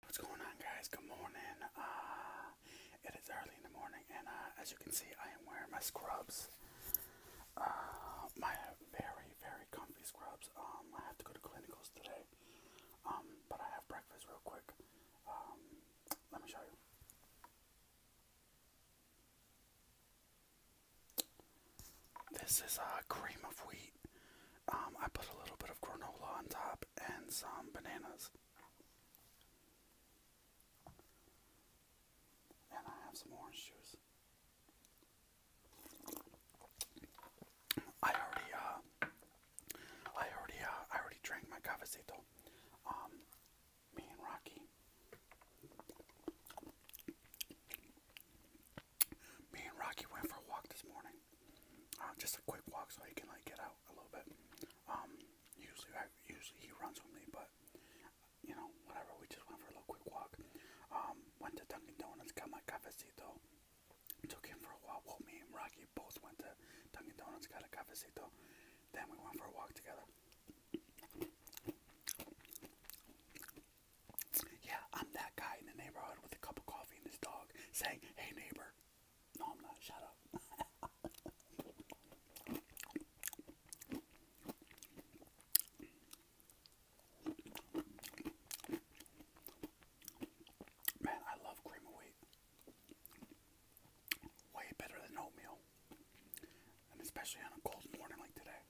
What's going on guys? Good morning. Uh, it is early in the morning and uh, as you can see I am wearing my scrubs. Uh, my very, very comfy scrubs. Um, I have to go to clinicals today. Um, but I have breakfast real quick. Um, let me show you. This is uh, cream of wheat. Um, I put a little bit of granola on top and some bananas. And I have some orange juice. I already, uh, I already, uh, I already drank my cafecito. Um, me and Rocky. Me and Rocky went for a walk this morning time. Uh, just a quick walk so he can like get out a little bit. Um, usually, I, usually he runs with me, but you know, whatever. We just went for a little quick walk. Um, went to Dunkin' Donuts, got my cafecito. Took him for a while. Well, me and Rocky both went to Dunkin' Donuts, got a cafecito. Then we went for a walk together. Yeah, I'm that guy in the neighborhood with a cup of coffee and his dog saying, Hey neighbor, no, I'm not. Shut up. Man, I love cream of wheat. Way better than oatmeal. And especially on a cold morning like today.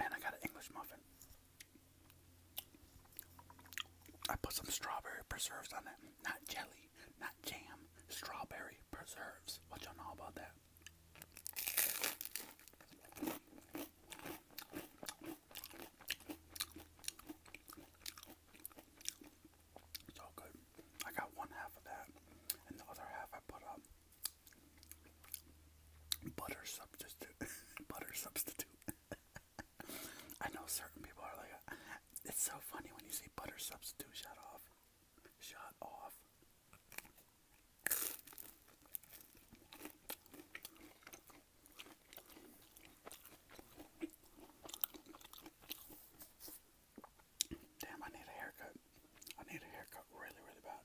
And I got an English muffin. I put some strawberry preserves on it. Not jelly, not jam, strawberry preserves. What y'all know about that? So good. I got one half of that, and the other half I put up um, butter substitute. butter substitute. I know certain people are like, it's so funny when you see butter substitute. Shut off. Shut off. Damn, I need a haircut. I need a haircut really, really bad.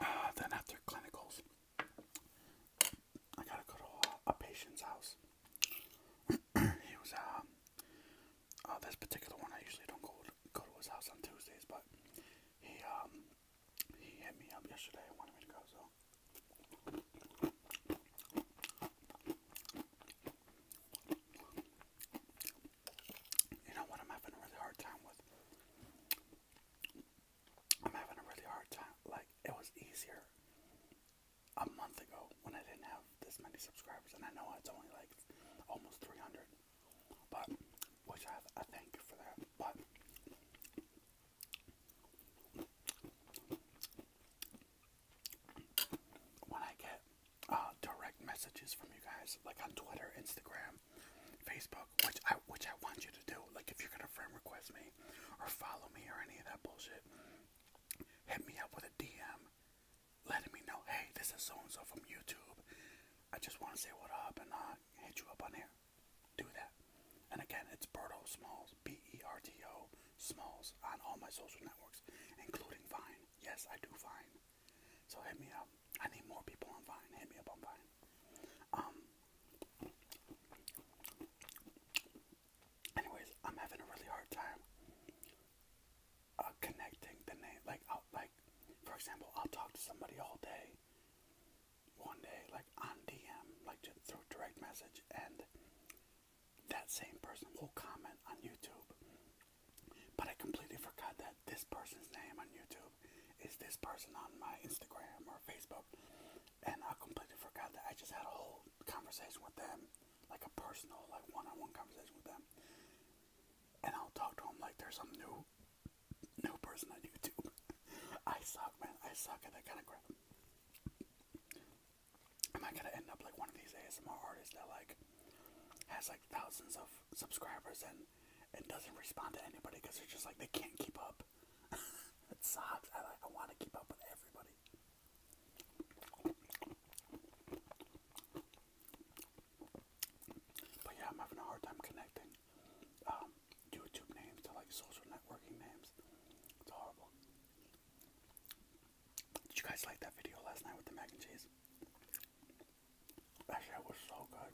Uh, then after clinicals, I gotta go to a, patient's house. he was um, uh, this particular one. I usually don't go to, go to his house on Tuesdays, but he um, he hit me up yesterday wanted me to go. So you know what I'm having a really hard time with? I'm having a really hard time. Like, it was easier a month ago when I didn't have this many subscribers, and I know it's only like almost 300, but which I, thank you for that. But when I get uh, direct messages from you guys, like on Twitter, Instagram, Facebook, which I which I want you to do. Like if you're gonna friend request me or follow me or any of that bullshit, hit me up with a DM, letting me know, hey, this is so and so from YouTube. I just want to say what up and uh, hit you up on here. Do that. And again, it's Berto Smalls, B E R T O Smalls, on all my social networks, including Vine. Yes, I do Vine. So hit me up. I need more people on Vine. Hit me up on Vine. Um. Anyways, I'm having a really hard time uh, connecting the name. Like, i like for example, I'll talk to somebody all day. One day, like on DM, like through direct message, and that same person will comment on YouTube. But I completely forgot that this person's name on YouTube is this person on my Instagram or Facebook. And I completely forgot that I just had a whole conversation with them, like a personal, like one on one conversation with them. And I'll talk to them like there's some new new person on YouTube. I suck, man. I suck at that kind of crap am I gonna end up like one of these ASMR artists that like has like thousands of subscribers and and doesn't respond to anybody because they're just like they can't keep up. it sucks. I like I want to keep up with everybody. But yeah, I'm having a hard time connecting um, YouTube names to like social networking names. It's horrible. Did you guys like that video last night with the mac and cheese? That shit was so good.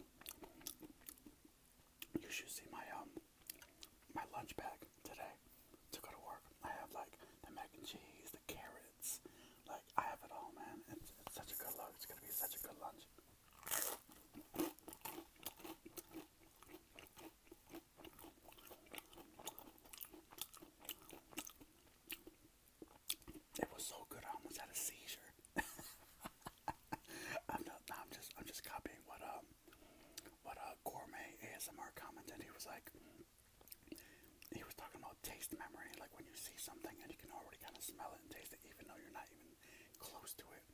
You should see my um my lunch bag today to go to work. I have like the mac and cheese, the carrots, like I have it all, man. It's, such a good lunch. It's gonna be such a good lunch. It was so good I almost had a seizure. I'm not no, i just I'm just copying what a, um, what uh gourmet ASMR commented. He was like he was talking about taste memory, like when you see something and you can already kind of smell it and taste it even though you're not even close to it.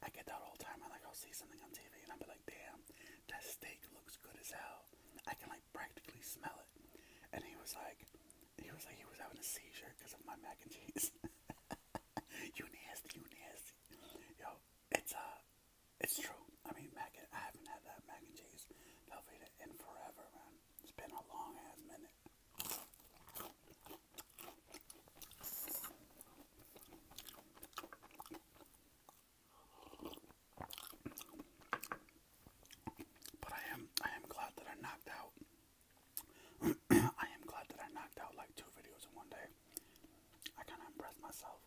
I get that all the time. I like I'll see something on TV and I'll be like, damn, that steak looks good as hell. I can like like practically smell it. And he was like, he was like, he was having a seizure because of my mac and cheese. you nasty, you nasty. Yo, it's uh, it's true. I mean, mac and I haven't had that mac and cheese Velveeta in forever, man. It's been a long ass minute. But I am I am glad that I knocked out I am glad that I knocked out like two videos in one day. I kinda impressed myself.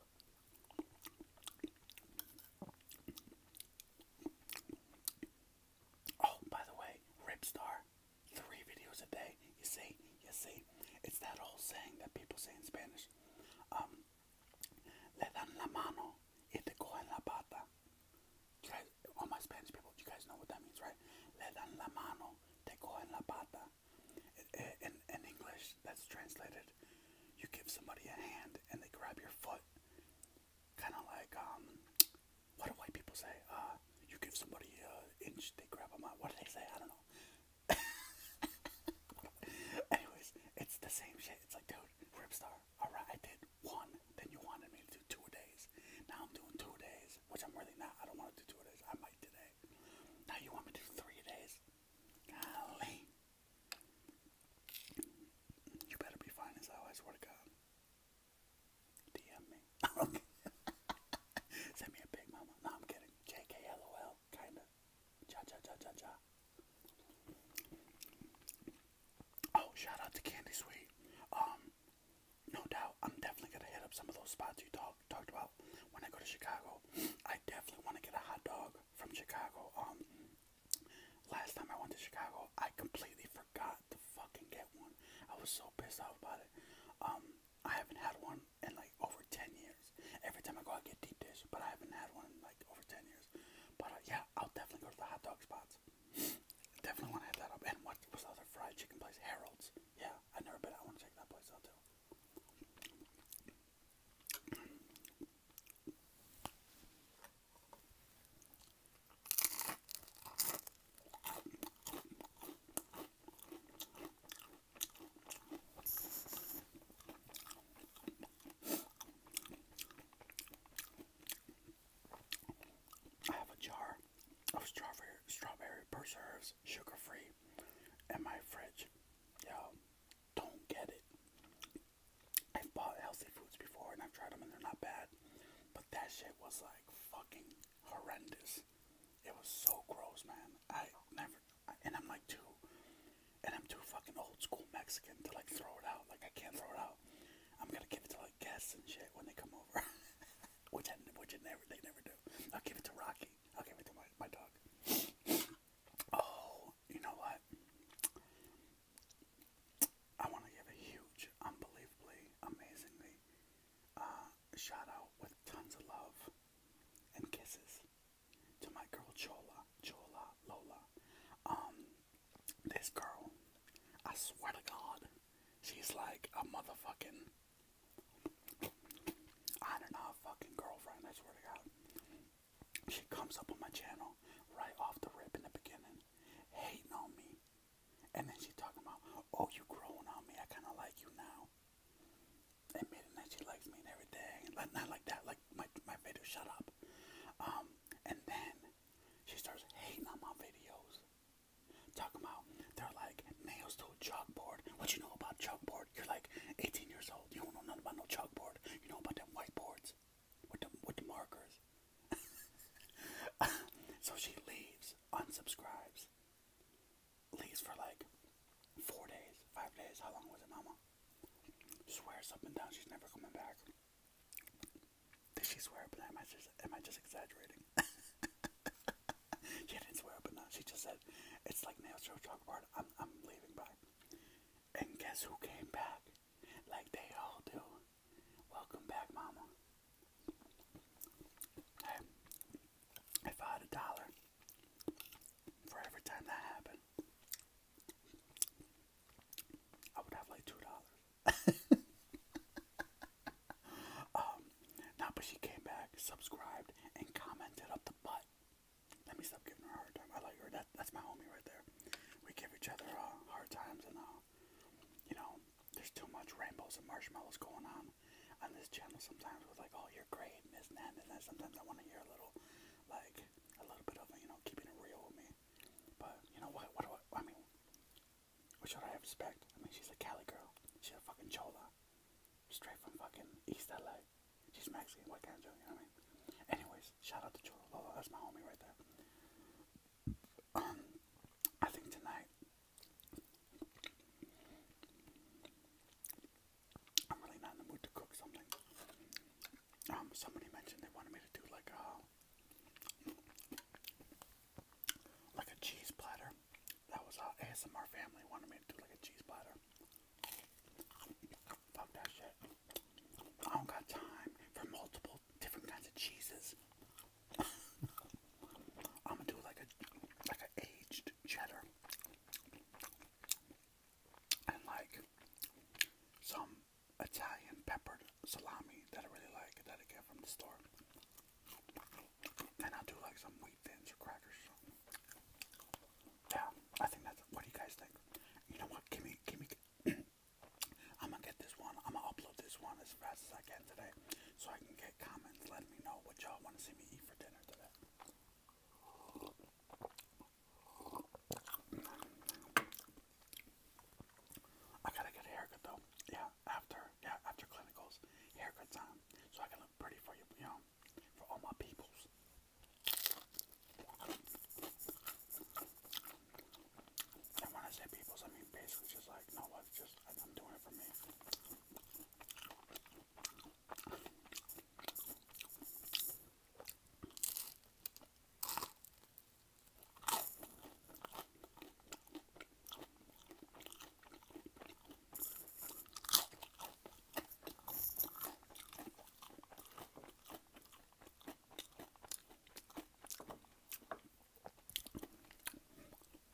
Oh, by the way, Ripstar, three videos a day. You see, you see, it's that old saying that people say in Spanish. Um, le dan la mano y te cogen la pata. You guys, all my Spanish people, you guys know what that means, right? Le dan la mano, te cogen la pata. In, English, that's translated, you give somebody a hand and they grab your foot. Kind of like, um, what do white people say? Uh, you give somebody an inch, they grab a mile. What do they say? I don't know. Anyways, it's the same shit. It's like, dude, Ripstar, alright, I did one. Then you wanted me to do two days. Now I'm doing two days, which I'm really not. I don't want to do two days. I might today. Now you want me to do three days? Golly. You better be fine as hell, I swear to God. DM me. Send me a big mama. No, I'm kidding. JK, LOL, kinda. Oh, shout out to Candy Sweet. Um, no doubt, I'm definitely gonna hit up some of those spots you talk, talked about when I go to Chicago. I definitely want to get a hot dog from Chicago. Um, last time I went to Chicago, I completely forgot to fucking get one. I was so pissed off about it. Um, I haven't had one in like over ten years. Every time I go, I get deep dish, but I haven't had one in like over 10 years. But uh, yeah, I'll definitely go to the hot dog spots. definitely want to hit that up. And what was the other fried chicken place? Harold's. Yeah, I've never been. I want to check that place out too. I have a jar of strawberry strawberry preserves, sugar free, in my fridge. you don't get it. I've bought healthy foods before and I've tried them and they're not bad, but that shit was like fucking horrendous. It was so gross, man. I never and I'm like too, and I'm too fucking old school Mexican to like throw it out. Like I can't throw it out. I'm gonna give it to like guests and shit when they come over, which I, which it never they never do. I'll give it to Rocky. I'll give it to my my dog. oh, you know what? I want to give a huge, unbelievably, amazingly uh, shout out with tons of love and kisses to my girl Chola, Chola, Lola. Um, this girl, I swear to God, she's like a motherfucking. I don't fucking girlfriend, I swear to God. She comes up on my channel right off the rip in the beginning, hating on me. And then she's talking about, oh, you growing on me, I kind of like you now and made She likes me and everything. Like, not like that. Like my my video. Shut up. Um, and then she starts hating on my videos. Talk about they're like nails to a chalkboard. What you know about chalkboard? You're like 18 years old. You don't know nothing about no chalkboard. You know about them whiteboards with the with the markers. so she leaves, unsubscribes, leaves for like four days, five days. How long was it, Mama? Swears up and down she's never coming back. Did she swear up and down? Am I just, am I just exaggerating? she didn't swear up and down. She just said, it's like nail show chalkboard. I'm, I'm leaving back. And guess who came back? Like they all do. Welcome back, mama. Hey, if I had a dollar, for every time that happened, I would have like two dollars. Um, now, but she came back, subscribed, and commented up the butt. Let me stop giving her a hard time. I like her. That, that's my homie right there. We give each other uh, hard times, and uh, you know, there's too much rainbows and marshmallows going on on this channel sometimes. With like, oh, you're great, and this and that, Sometimes I want to hear a little like a little bit of you know keeping it real with me. But you know what? What do I? I mean, what should I expect? I mean, she's a Cali girl. She a fucking chola, straight from fucking East LA. She's Mexican. What can I do? You know what I mean? Anyways, shout out to Cholo Lolo. That's my homie right there. Um, I think tonight. I'm really not in the mood to cook something. Um, somebody mentioned they wanted me to do like a uh, like a cheese platter. That was uh, ASMR family wanted me to do like a cheese platter. Fuck that shit. I don't got time for multiple different kinds of cheeses. I'm gonna do like a like an aged cheddar and like some Italian peppered salami that I really like that I get from the store. And I do like some wheat thins or crackers. Yeah, I think that's what do you guys think? You know what? Give me, give me. I'm gonna get this one. I'm gonna upload this one as fast as I can today, so I can get comments letting me know what y'all want to see me eat for dinner today. I gotta get a haircut though. Yeah, after yeah after clinicals, haircut time, so I can look pretty for you, you know, for all my peoples. when I say peoples, I mean basically just like no, it's just I'm doing it for me.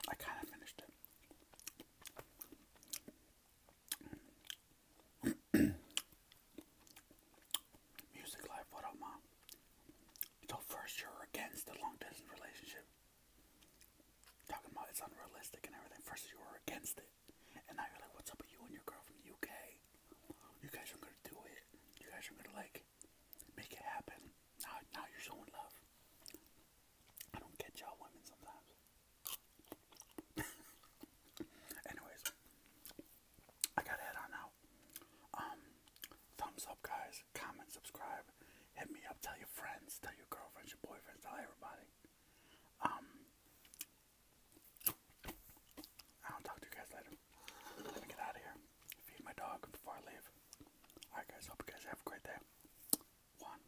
I kind of finished it. Music Life, what up, Mom? So, first, you're against the long distance relationship. Talking about it's unrealistic and everything. First, you were against it. And now you're like, what's up with you and your girl from the UK? You guys are gonna do it. You guys are gonna, like, make it happen. Now, now you're showing love. I don't get y'all women sometimes. Anyways, I gotta head on out. Um, thumbs up, guys. Comment, subscribe. Hit me up. Tell your friends. Tell your girlfriends, your boyfriends. Tell everybody. Um, I'll talk to you guys later. Let me get out of here. Feed my dog before I leave. Alright, guys. Hope you guys have a great day. One.